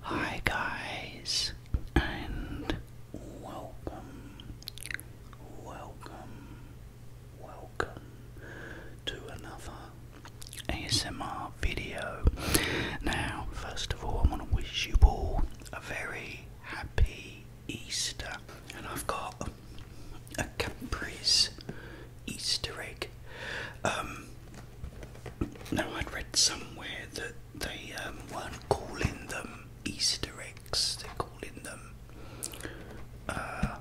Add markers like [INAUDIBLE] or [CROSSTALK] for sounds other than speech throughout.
Hi guys and welcome, welcome, welcome to another ASMR video. Now, first of all, I want to wish you all a very happy Easter, and I've got a Capri's Easter egg. Um, now, I'd read somewhere that they um, weren't calling them Easter eggs, they're calling them uh,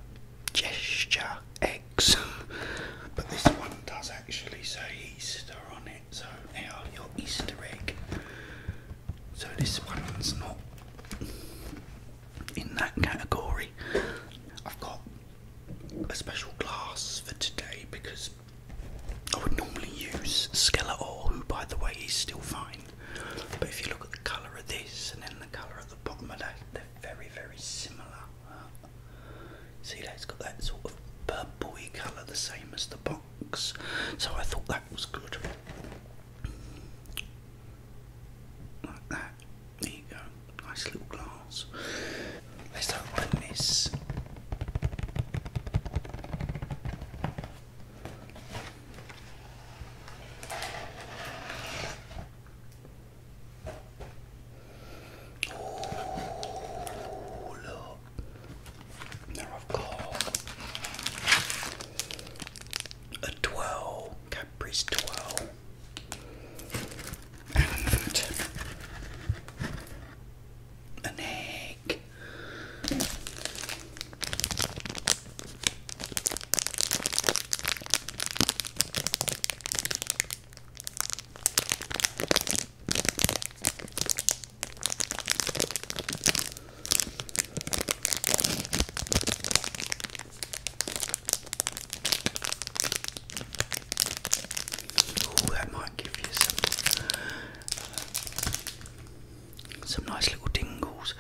gesture eggs. [LAUGHS] but this one does actually say Easter on it, so they are Easter egg. So this one's not in that category. I've got a special glass for today because I would normally use Skeletor, who by the way is still fine. But if you look at the colour of this and then the colour of the bottom of that, they're very, very similar. see, that's got that sort of purpley colour, the same as the box. So I thought that was good. Like that. There you go, nice little glass. Let's open this. Oh, look. Now I've got a twirl, Cadbury's twirl and an egg. Ooh, that might give you some uh, some nice little tingles.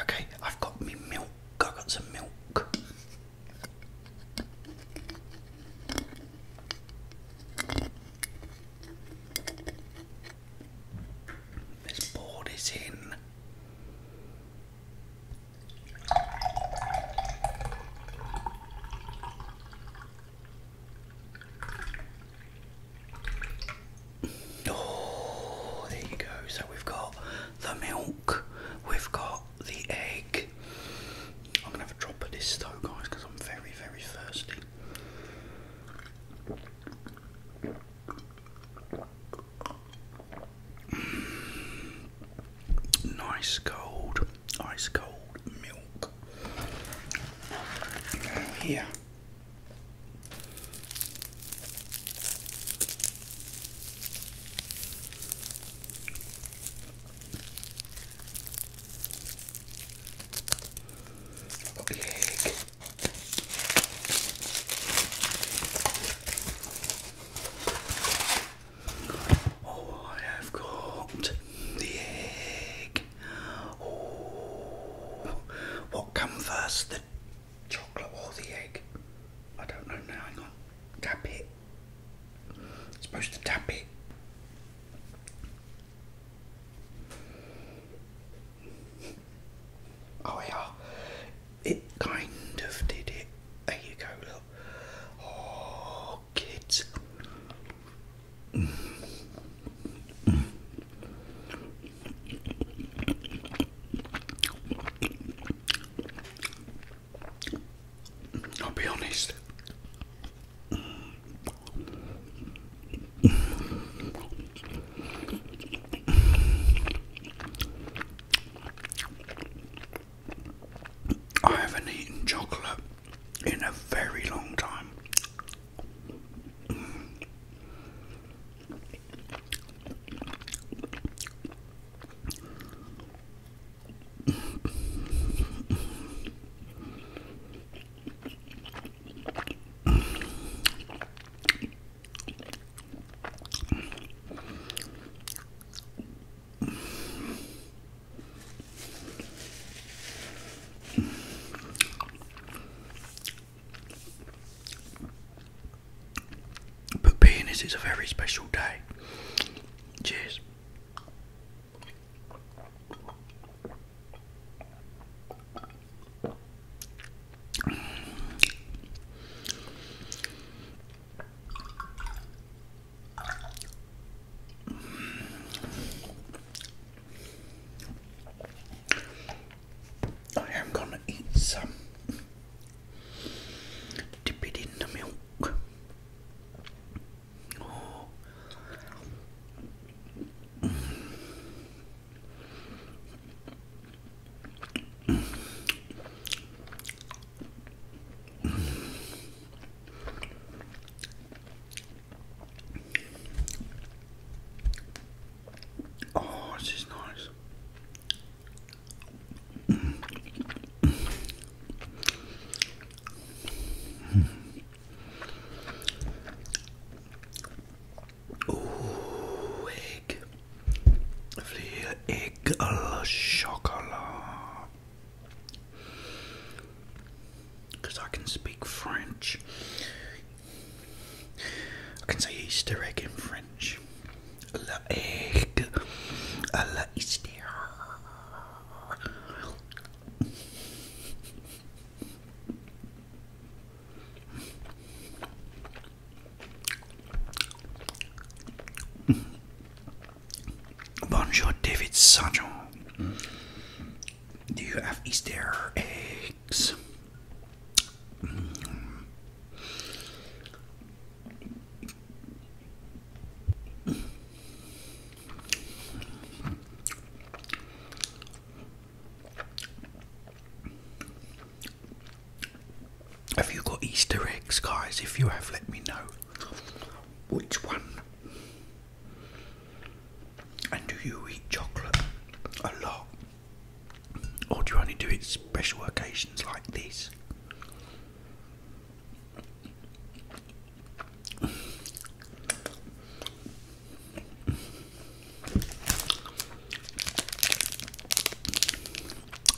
Okay, I've got me milk. I've got some milk. Let's pour in. Oh, there you go. So we've got the milk, we've got the egg. I'm gonna have a drop of this though, guys, because I'm very, very thirsty. Nice cold, ice cold milk. Here. i Oh, I have got the egg. Oh, what comes first, the chocolate or the egg? I don't know now. Hang on, tap it. supposed to tap it. Oh yeah, it kind of did it. There you go, look. Oh, kids. I'll be honest. I haven't eaten chocolate in a very long time. But being as it's a very special day, cheers. I am going to eat some. Dip it in the milk. Oh, this is nice. oh, egg. Vlier Egg Chocolat. Because I can speak French. I can say Easter egg in French. La egg. La Easter. [LAUGHS] Bonjour, David Sancho. Do you have Easter eggs? Have you got Easter eggs, guys? If you have, let me know which one. And do you eat chocolate a lot? Or do you only do it special occasions like this?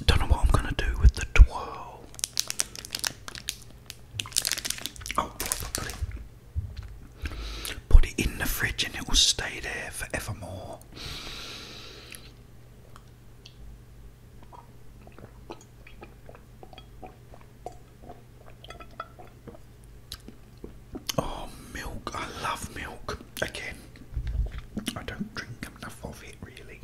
Don't know what I'm gonna do with the twirl. Oh, probably. Put it in the fridge and it will stay there forevermore. Oh, milk. I love milk. Okay, I don't drink enough of it really.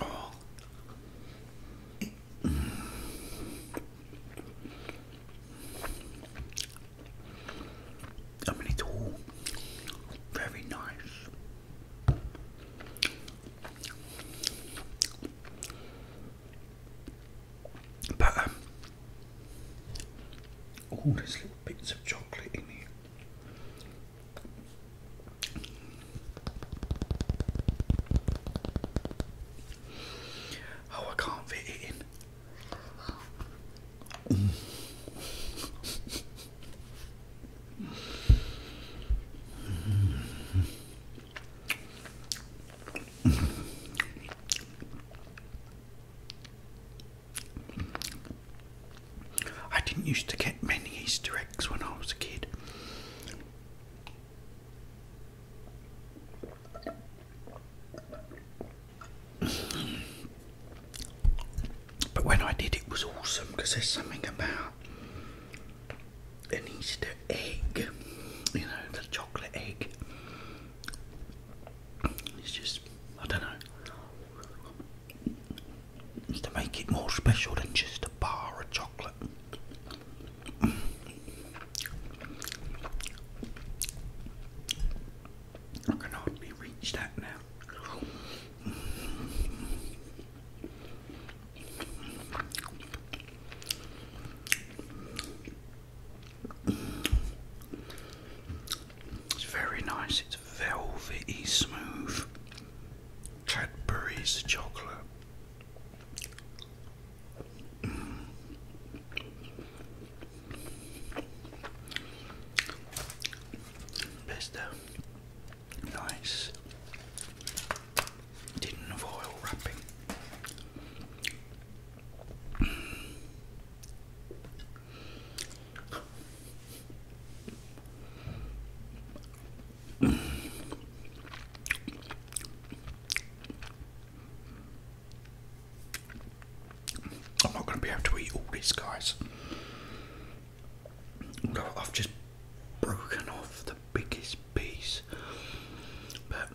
oh. I mean, it's all very nice. But all um, these little bits of chocolate in here. Oh, I can't fit in. I didn't used to get many Easter eggs when I was a kid. But when I did, it was awesome because there's something about an Easter egg, you know, the chocolate egg. It's just, I don't know, to make it more special than just a bar of chocolate. I can hardly reach that now. It's very nice, it's velvety smooth. Cadbury's chocolate. Besta. Nice. Didn't have wrapping. I'm not going to be able to eat all these guys. I've just broken off the biggest piece. But.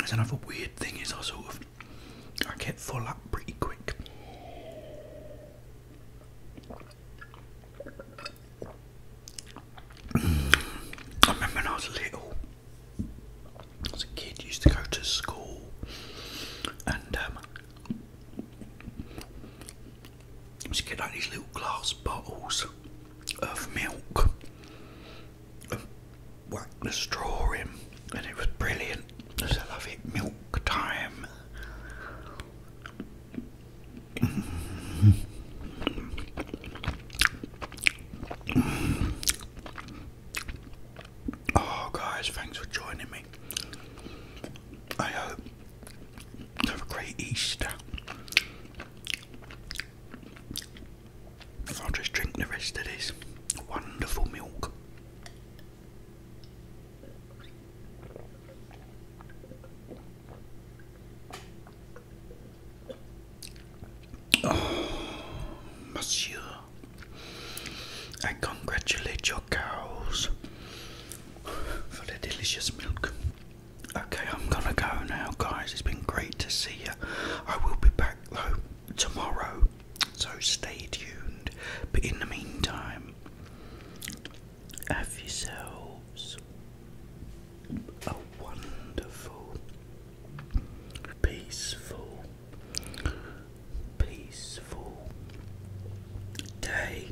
It's another weird thing is I sort of I get full up pretty quick. I remember when I was little, as a kid, used to go to school and um, I used to get like these little glass bottles of milk whacked the straw in, and it was brilliant. I love it, milk time. Oh, guys, thanks for joining me. I hope you have a great Easter. I'll just drink the rest of this wonderful milk. Oh, monsieur, I congratulate your cows for the delicious milk. Okay, I'm gonna go now, guys. It's been great to see you. I will be back though tomorrow, so stay tuned. But in the meantime, have yourselves a wonderful, peaceful, peaceful day.